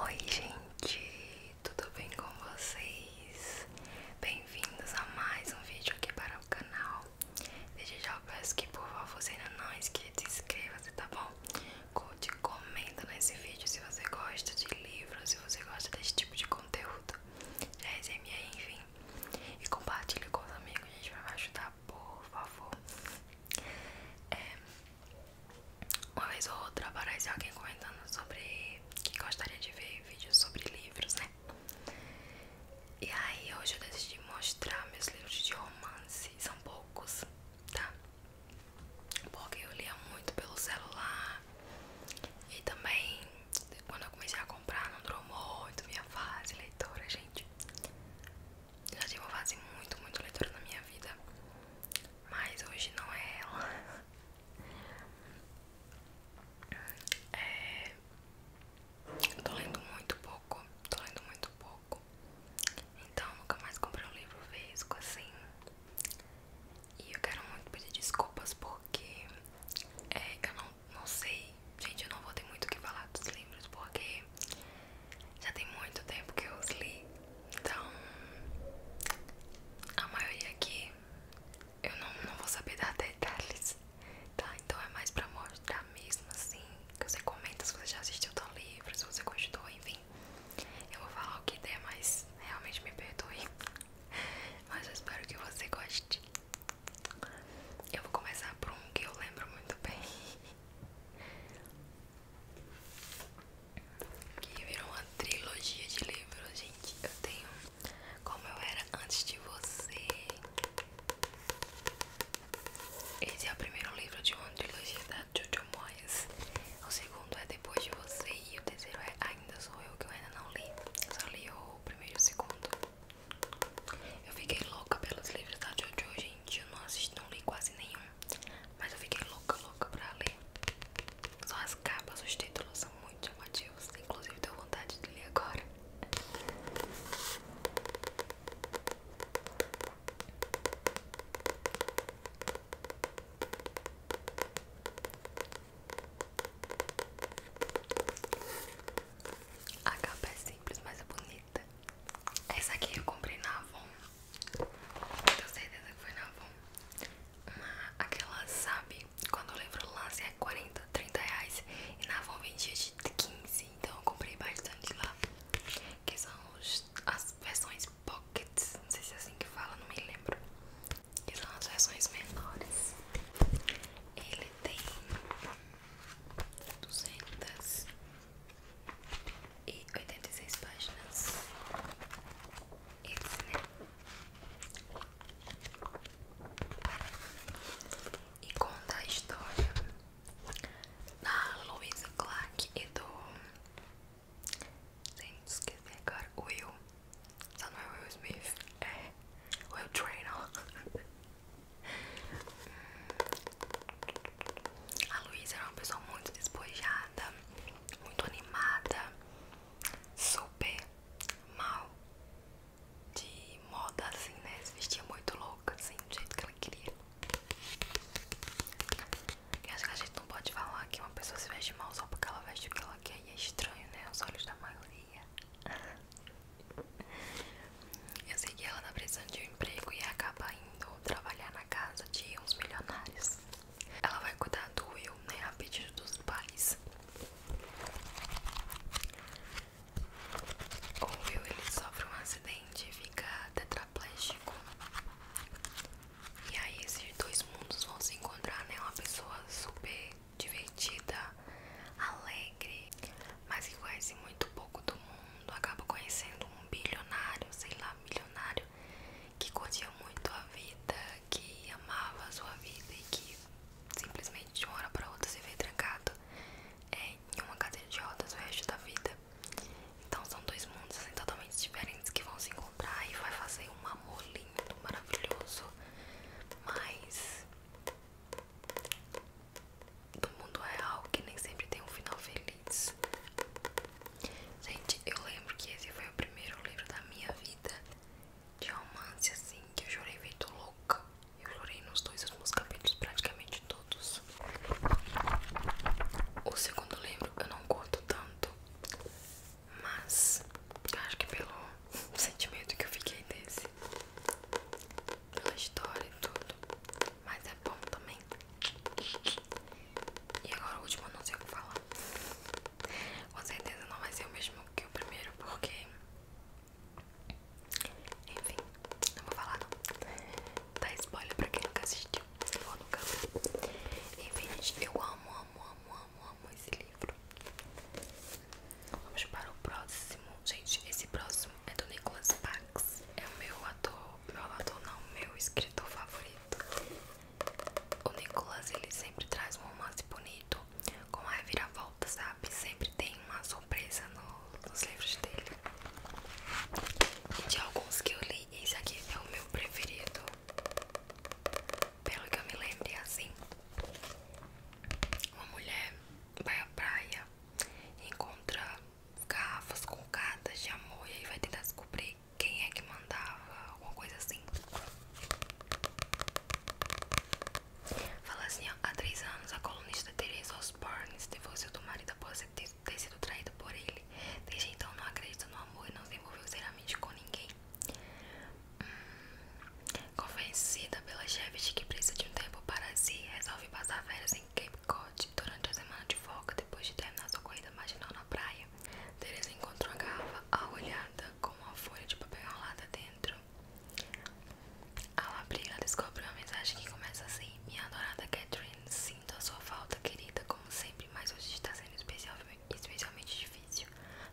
Oi, gente, tudo bem com vocês? Bem-vindos a mais um vídeo aqui para o canal. Desde já eu peço que por favor você ainda não é inscrito, se inscreva tá bom? Curte, comenta nesse vídeo se você gosta de livros, se você gosta desse tipo de conteúdo, de é, resenha, enfim. E compartilhe com os amigos, a gente vai me ajudar, por favor. É, uma vez ou outra aparece alguém comentando sobre que gostaria de ver vídeos sobre livros, né? E aí hoje eu decidi mostrar meus livros de romance, são poucos, tá? Porque eu lia muito pelo celular E também Quando eu comecei a comprar Não durou muito minha fase leitora, gente Já tinha uma fase muito, muito leitora na minha vida Mas hoje não é ela é, Tô lendo muito pouco Tô lendo muito pouco então nunca mais comprei um livro vesgo assim. E eu quero muito pedir desculpas porque é, eu não, não sei, gente, eu não vou ter muito o que falar dos livros porque já tem muito tempo que eu os li. Então a maioria aqui eu não, não vou saber dar detalhes. Tá, então é mais pra mostrar mesmo assim. Que você comenta se você já assistiu tal livro, se você gostou, enfim. Eu vou falar o que der, mas realmente me perdoe. Mas eu espero que você goste. Eu vou começar por um que eu lembro muito bem. Que virou uma trilogia de livros, gente. Eu tenho Como Eu Era Antes de Você. Esse é o primeiro livro de uma trilogia da Jojo Moyes. O segundo é Depois de Você e o terceiro é Ainda Sou Eu, que eu ainda não li. só li o primeiro e o segundo. Eu fiquei louca pelos livros da Jojo, gente. Eu não assisti, não li quase nenhum. Mas eu fiquei louca, louca pra ler. Só as capas, os títulos são muito chamativos. Inclusive, tenho vontade de ler agora. A capa é simples, mas é bonita. Essa aqui eu comprei na Avon. Tenho certeza que foi na Avon. Mas aquela, sabe, quando eu lembro lá, se assim, é 40, 30 reais. E na Avon vendia de 15, então eu comprei bastante lá. Que são as versões pockets, não sei se é assim que fala, não me lembro. Que são as versões menores. Ele tem 286 páginas. Esse, né? E conta a história da Louisa Clark e do Gente, esqueci agora. Will. Só não é Will Smith. É. Will Traynor. A Luísa era uma pessoa muito despojada, muito animada, super mal de moda, assim, né? Se vestia muito louca, assim, do jeito que ela queria. Eu acho que a gente não pode falar que uma pessoa se veste mal só porque ela veste o que ela quer e é estranho, né? Os olhos da maioria. Eu sei que ela tá precisando de um emprego e acaba indo trabalhar na casa de uns milionários. Ela vai cuidar do Will, né? A pedido dos pais. O Will ele sofre um acidente e fica tetraplégico. E aí esses dois mundos vão se encontrar, né? Uma pessoa super divertida, alegre, mas que conhece muito pouco do mundo, acaba conhecendo um bilionário, sei lá, bilionário que curtia muito a vida, que amava a sua vida e que simplesmente de uma hora para outra se vê trancado é, em uma cadeira de rodas o resto da vida. Então são dois mundos assim, totalmente diferentes que vão se encontrar e vai fazer um amor lindo, maravilhoso, mas do mundo real que nem sempre tem um final feliz. Gente, eu lembro que esse foi o primeiro livro da minha vida de romance assim que eu chorei feito louca. Eu chorei nos dois últimos capítulos, praticamente todos. O segundo livro eu não curto tanto, mas eu acho que pelo sentimento que eu fiquei desse, pela história e tudo. Mas é bom também. E agora o último eu não sei o que falar. Com certeza não vai ser o mesmo que o primeiro, porque. Enfim, não vou falar não. Dá spoiler pra quem nunca assistiu. Enfim, gente, eu amo, amo, amo, amo, amo esse livro. Vamos para o próximo. Gente, esse próximo é do Nicholas Sparks. É o meu ator, meu ator não, meu escritor favorito. O Nicholas, ele sempre traz um romance bonito, com a reviravolta, sabe? Sempre tem uma surpresa nos livros dele. De alguns que eu li, esse aqui é o meu preferido. Pelo que eu me lembro é assim Uma mulher vai à praia Encontra garrafas colgadas de amor E aí vai tentar descobrir quem é que mandava Alguma coisa assim Fala assim, há três anos a colunista Teresa Osborne Se fosse do marido após ter ter sido traído por ele. Desde então não acredita no amor e não se envolveu seriamente com ninguém. Hum, convencida pela chefe de que precisa de um tempo para si, resolve passar férias em Cape Cod durante a semana de folga. Depois de terminar sua corrida marginal na praia, Teresa encontrou a garrafa arrolhada com uma folha de papel enrolada dentro. Ao abrir, ela descobre uma mensagem que começa assim: Minha adorada Catherine, se Sinto a sua falta, querida, como sempre, mas hoje está sendo especialmente difícil,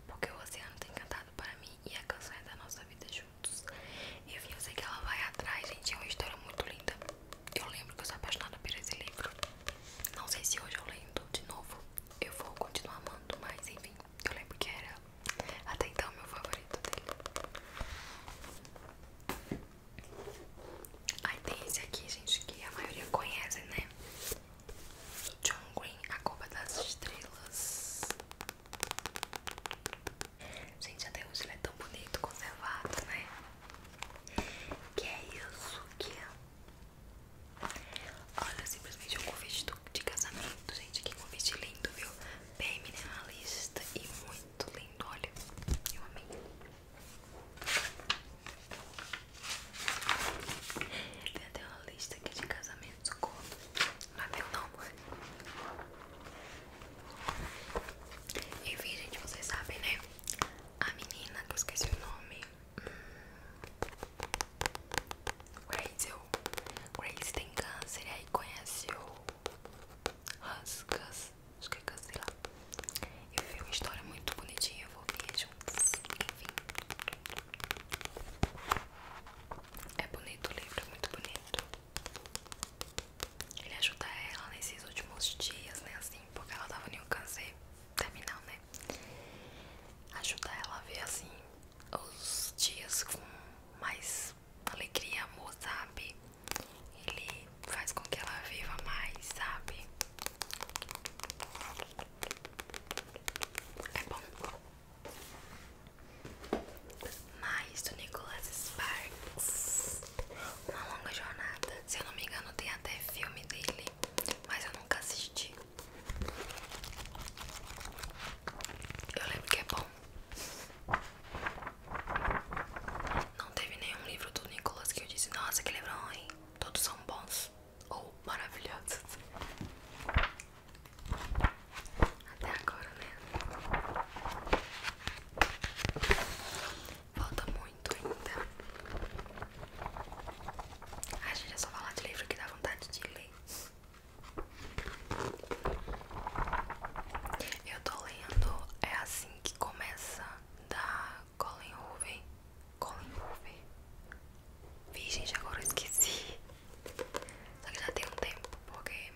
porque o oceano tem cantado para mim e a canção é da nossa vida juntos. Enfim, eu sei que ela vai atrás, gente, é uma história muito linda. Eu lembro que eu sou apaixonada por esse livro. Não sei se hoje eu lendo de novo, eu vou continuar amando, mas enfim, eu lembro que era até então meu favorito dele. Aí tem esse aqui, gente, que a maioria conhece, né? Do John Green, A Copa das Estrelas. Gente, até hoje ele é tão bonito, conservado, né? Que é isso que é? Olha, simplesmente um convite de casamento, gente. Que convite lindo, viu? Bem minimalista e muito lindo, olha. Eu amei. Tem até uma lista aqui de casamentos não com Mavelão. Enfim, gente, vocês sabem, né? A menina que eu esqueci o nome. Grace, hum. Grace tem câncer e aí conhece o Huskus, acho que é câncer lá. Eu vi uma história muito bonitinha, eu vou ver juntos. Enfim. É bonito o livro, é muito bonito. Ele ajuda ela nesses últimos dias, né? Assim, porque ela tava em um câncer terminal, né? Ajuda ela a ver, assim, os dias com mais alegria, amor, sabe? Ele faz com que ela viva mais, sabe? É bom. Mais do Nicholas Sparks. Uma longa jornada. Se eu não me engano, tem até filme dele, mas eu nunca assisti. Eu lembro que é bom. Não teve nenhum livro do Nicholas que eu disse, nossa, que livro ruim. Todos são bons ou oh, Até agora, né? Falta muito ainda. A gente é só falar de livro que dá vontade de ler. Eu tô lendo É Assim Que Começa, da Colin Hoover Colin Hoover Vi, gente, agora eu esqueci Só que já tem um tempo Porque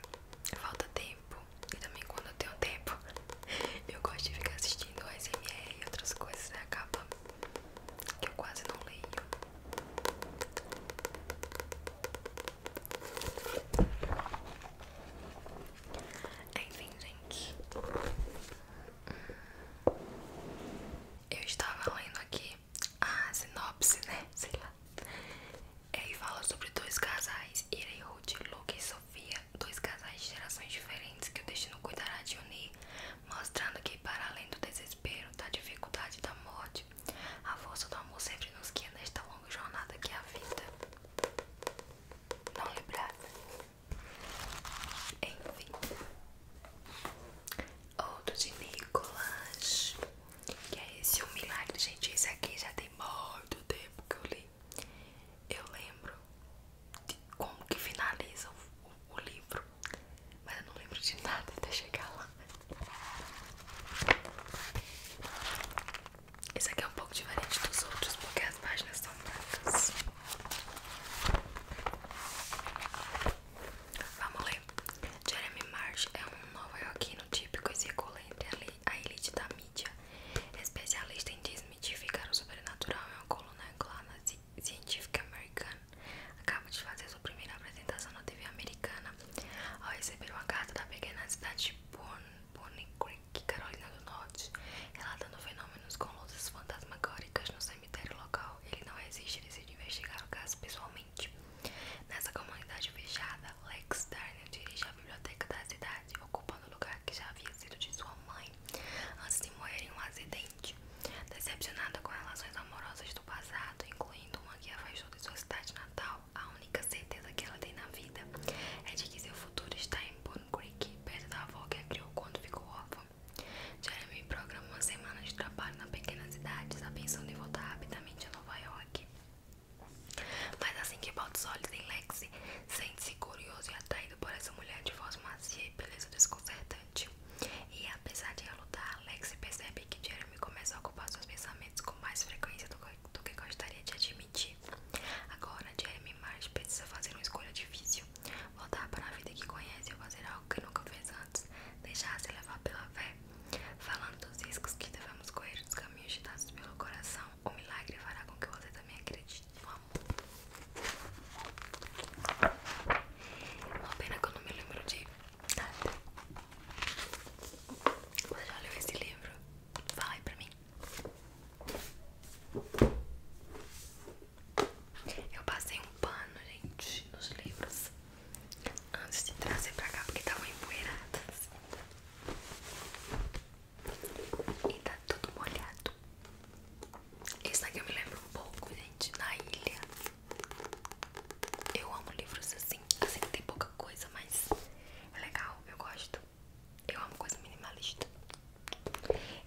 falta tempo E também quando eu tenho tempo Eu gosto de ficar assistindo ASMR E outras coisas, né, acaba Que eu quase não leio é, enfim, gente eu estava lendo aqui a sinopse, né? Sei lá. Ele é, fala sobre dois casais, Ira e Luke e Sofia, dois casais de gerações diferentes que o destino cuidará de unir, mostrando que, para além do desespero, da dificuldade da morte, a força do amor sempre nos guia nesta longa jornada que é a vida. Não lembrava. Enfim, outro de Nicolas, que é esse um milagre, gente. Esse aqui já tem muito tempo que eu li. Eu lembro de como que finaliza o, livro, mas eu não lembro de nada até chegar lá. Esse aqui é um pouco diferente dos outros porque as páginas são brancas. Vamos ler. Jeremy Marsh é um nova-iorquino típico e circula entre a elite da mídia. Especialista em desmitificar o sobrenatural, é uma coluna angular científica americana. Acaba de fazer sua primeira apresentação na TV americana ao receber uma carta da pequena cidade de Bonnie Creek, Carolina do Norte, relatando fenômenos com luzes fantasmagóricas no céu no cemitério local, ele não resiste e decide investigar o caso pessoalmente. Nessa comunidade fechada, Lex Darnell dirige a biblioteca da cidade, ocupando o lugar que já havia sido de sua mãe antes de morrer em um acidente. Decepcionada com relações amorosas do passado, incluindo uma que afastou de sua cidade natal, a única certeza que ela tem na vida é de que seu futuro está em Boone Creek, perto da avó que a criou quando ficou órfã. Jeremy programa uma semana de trabalho na pequena cidade, a pensando em voltar rapidamente a Nova York. Mas assim que bota os olhos em Lexi, sente-se curioso e atraído por essa mulher de voz macia e beleza desconcertante. E apesar de lutar, Lexi percebe que Jeremy começa a ocupar seus pensamentos com mais frequência do que, do que gostaria de admitir. Agora, Jeremy mais precisa fazer uma escolha difícil voltar para a vida que conhece ou fazer algo que nunca fez antes, deixar-se levar pela fé. Falando dos riscos que devemos correr, dos caminhos ditados pelo coração, o milagre fará com que você também acredite Vamos. amor. Uma pena que eu não me lembro de nada. Você já leu esse livro? Fala aí pra mim. Eu passei um pano, gente, nos livros antes de trazer pra cá porque estavam tá empoeiradas. Assim. E tá tudo molhado. Isso daqui eu me lembro um pouco, gente, na ilha. Eu amo livros assim. Assim que tem pouca coisa, mas é legal, eu gosto. Eu amo coisa minimalista.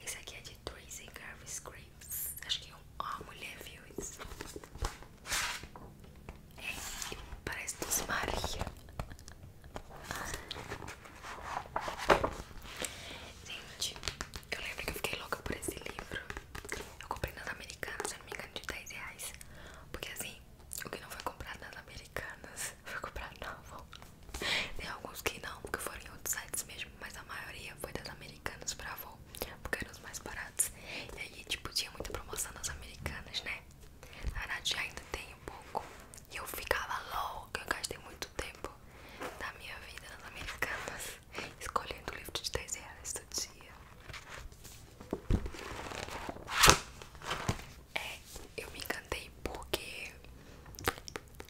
Esse aqui é de Tracy Garvey Scrapes. Acho que é uma mulher viu isso. É, parece dos Maria. Gente, eu lembro que eu fiquei louca por esse livro. Eu comprei nas Americanas, se não me engano, de 10 reais. Porque assim, o que não foi comprado nas Americanas foi comprado na Tem alguns que não, porque foram em outros sites mesmo, mas a maioria foi das Americanas americanos pra avô, porque eram os mais baratos. E aí, tipo, tinha muita promoção nas americanas, né? A Nadia ainda tem um pouco. E eu ficava louca, eu gastei muito tempo da minha vida nas americanas, escolhendo livro de 10 reais todo dia. É, eu me encantei porque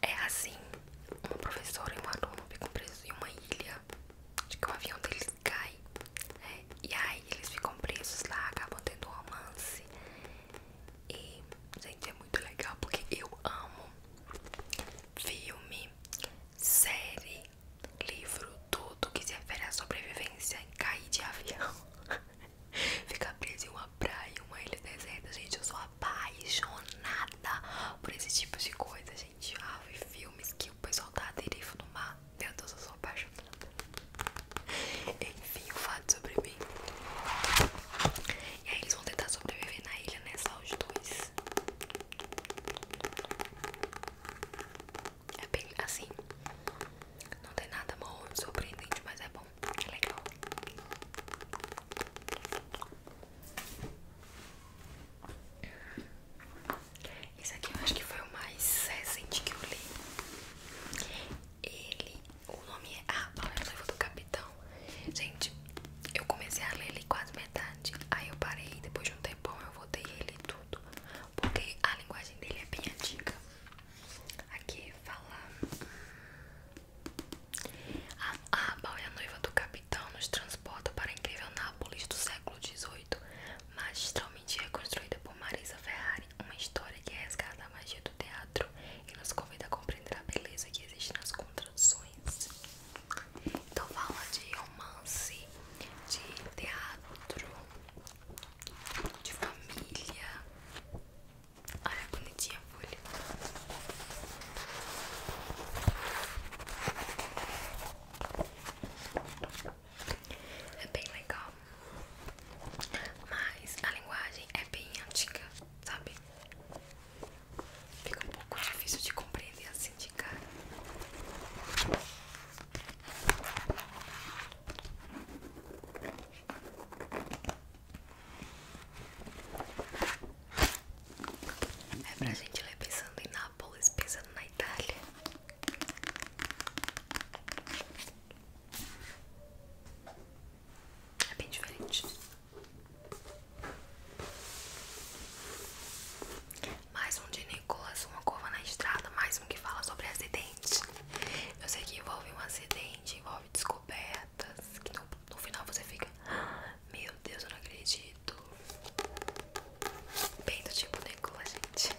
é assim, uma professora e um aluno ficam presos em uma ilha, de que o avião deles cai, né? e aí eles ficam presos lá, acabam tendo um romance. E, gente, é muito legal porque eu amo filme, série, livro, tudo que se refere à sobrevivência e cair de avião. Ficar preso em uma praia, uma ilha deserta, gente, eu sou apaixonada por esse tipo de coisa, gente. Ah, vi filmes que o pessoal tá aderifo no mar. Meu Deus, eu sou apaixonada. Enfim, o fato sobre mim. E aí eles vão tentar sobreviver na ilha, né? Só os dois. É bem assim. Não tem nada mal surpreendente, mas é bom. É legal. Esse aqui eu acho que foi o mais recente que eu li. Ele, o nome é ah, A noiva do Capitão. Gente, eu comecei a ler ele quase metade. Aí eu parei, depois de um tempão eu voltei ele tudo. Porque a linguagem dele é bem antiga. Aqui fala. Ah, a, é a noiva do capitão então nos transporta para a incrível Nápoles do século XVIII, magistralmente reconstruída por Marisa Ferrari, uma história que resgata a magia do teatro e nos convida a compreender a beleza que existe nas contradições. Então fala de romance, de teatro, de família. Olha, a bonitinha a folha. É bem legal, mas a linguagem é bem antiga, sabe? Fica um pouco difícil de compreender assim de cara. É pra gente ler pensando em Nápoles, pensando na Itália. É bem diferente. Mais um de Nicolas, uma curva na estrada, mais um que fala sobre acidentes. Eu sei que envolve um acidente, envolve descobertas, que no, final você fica. Ah, meu Deus, eu não acredito. Bem do tipo Nicola, gente.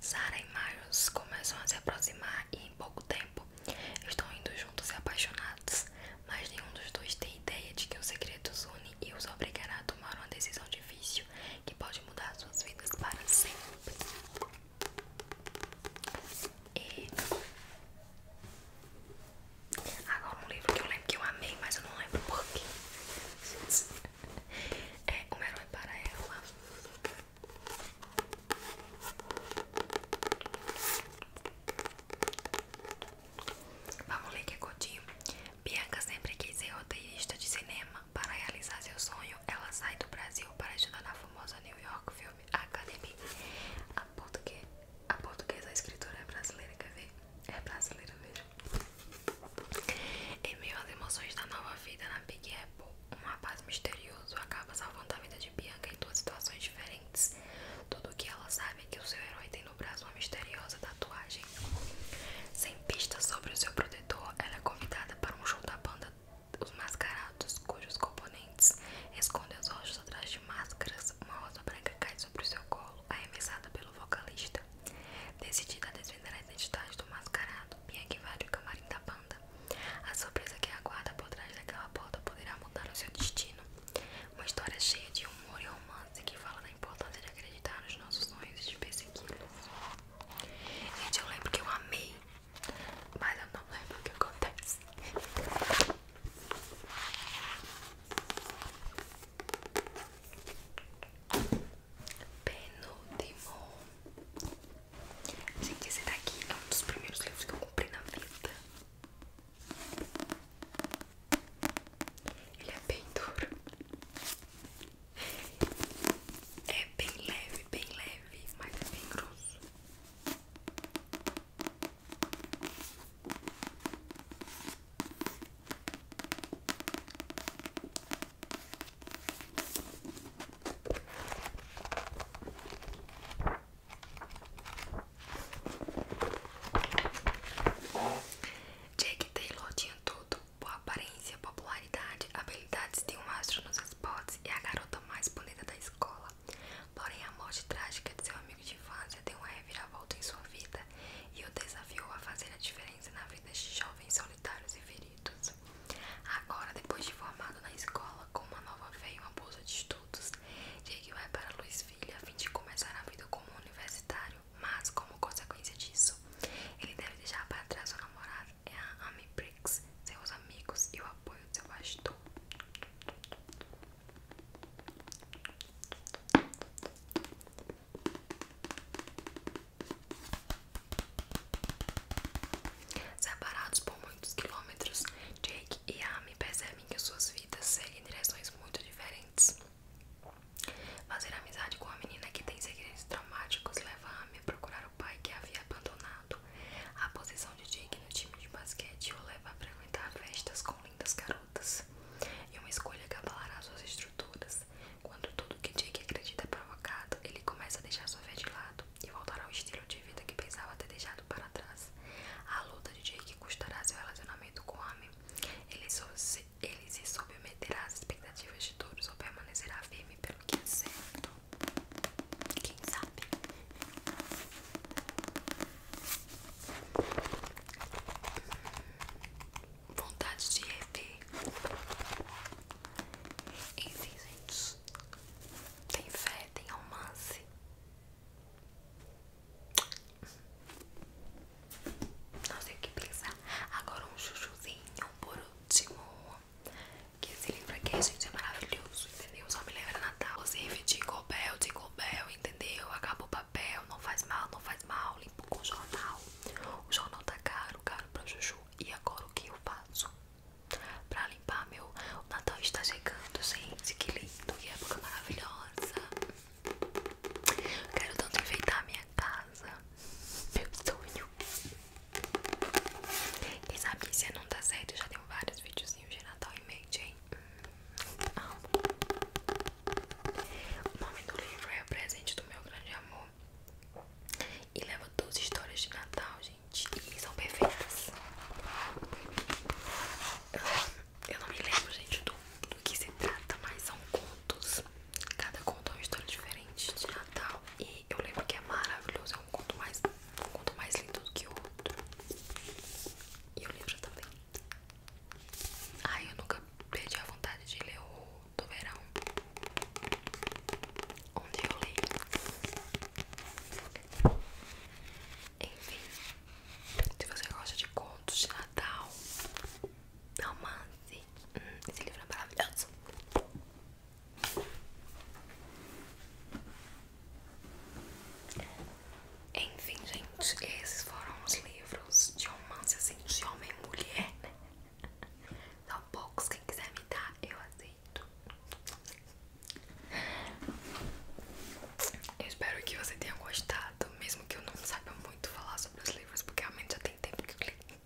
Sarah e Miles começam a se aproximar e pouco tempo. Estão indo juntos e apaixonados, mas nenhum dos dois tem ideia de que o segredo os une e os obrigará a tomar uma decisão difícil que pode mudar suas vidas para sempre. E agora um livro que eu lembro que eu amei, mas eu não lembro porquê. É um herói para ela. Vamos ler que é curtinho. Bianca sempre quis ser roteirista de cinema. Para realizar seu sonho, ela sai do Brasil para ajudar na famosa New York Film Academy. A, português a portuguesa a escritora é brasileira, quer ver? É brasileira mesmo. Em meio às emoções da nova vida na Big Apple, um rapaz misterioso acaba salvando a vida de de Bianca em duas situações diferentes. Tudo o que ela sabe é que o seu herói tem no braço uma misteriosa tatuagem. Sem pistas sobre o seu protetor, ela é convidada para um show da banda Os Mascarados, cujos componentes escondem os olhos atrás de máscaras. Uma rosa branca cai sobre o seu colo, arremessada pelo vocalista. Decidida a desvendar as identidades do mascarado, Bianca invade o camarim da banda. A surpresa que aguarda por trás daquela porta poderá mudar o seu destino. Uma história cheia de humor e romance que fala da importância de acreditar nos nossos sonhos e de persegui-los. Gente, eu lembro que eu amei, mas eu não lembro o que acontece. Penúltimo. Gente, esse daqui é um dos primeiros livros que eu comprei na vida. Ele é bem duro. É bem leve, bem leve, mas é bem grosso. Jake Taylor tinha tudo: boa aparência, popularidade, habilidades de um astro nos esportes e a garota mais bonita da escola. Porém, a morte trágica de seu amigo de infância deu uma reviravolta em sua vida e o desafiou a fazer a diferença na vida de jovens solitários e feridos. Agora, depois de formado na escola, com uma nova fé e uma bolsa de estudos, Jake vai para Louisville a fim de começar a vida como universitário, mas, como consequência disso, ele deve deixar para trás o namorado, é a Amy Briggs, seus amigos e o apoio do seu pastor. Separados por muitos quilômetros, Jake e Amy percebem que suas vidas seguem direções muito diferentes. Fazer amizade com a menina que tem segredos traumáticos leva Amy a procurar o pai que havia abandonado. A posição de Jake no time de basquete o leva a frequentar festas com lindas garotas. E uma escolha que abalará suas estruturas. Quando tudo que Jake acredita é provocado, ele começa a deixar sua fé de lado e voltar ao estilo de vida que pensava ter deixado para trás. A luta de Jake custará seu relacionamento com Amy. Ele, ele se submeterá às expectativas de todos ou permanecerá firme pelo que é certo. Quem sabe? Vontade de rever. Enfim, gente. Tem fé é, tem romance. Não sei o que pensar. Agora um chuchuzinho por último. Que se esse livro aqui, gente, é maravilhoso, entendeu? Só me lembra Natal. Inclusive, Jingle Bell, Jingle Bell, entendeu? Acaba o papel, não faz mal, não faz mal. Limpo com o jornal. O jornal tá caro, caro pra chuchu. E agora o que eu faço? pra limpar meu. O Natal está chegando, gente. Que lindo, que época maravilhosa. Quero tanto enfeitar a minha casa. Meu sonho. Quem sabe que se não tá certo, eu já tenho vários videozinhos de Natal em mente, hein? Ah. O nome do livro é O Presente do Meu Grande Amor. E leva duas histórias de Natal, gente gente, e são perfeitas. Eu não, me lembro, gente, do, do que se trata, mas são contos. Cada conto é uma história diferente de Natal. E eu lembro que é maravilhoso, é um conto mais, um conto mais lindo do que o outro. E o livro também. Ai, eu nunca perdi a vontade de ler o do verão. Onde eu leio. Enfim, se você gosta de contos de Natal, romance, hum, esse livro é maravilhoso. Enfim, gente, esses foram os livros de romance assim de homem e mulher, né? São poucos, quem quiser me dar, eu aceito. Eu espero que você tenha gostado, mesmo que eu não saiba muito falar sobre os livros, porque a mente já tem tempo que eu li.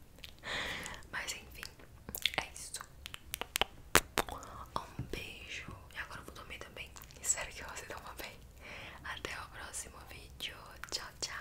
Mas enfim, é isso. Um beijo. E agora eu vou dormir também. Espero que você durma bem. Até o próximo vídeo. Tchau, tchau.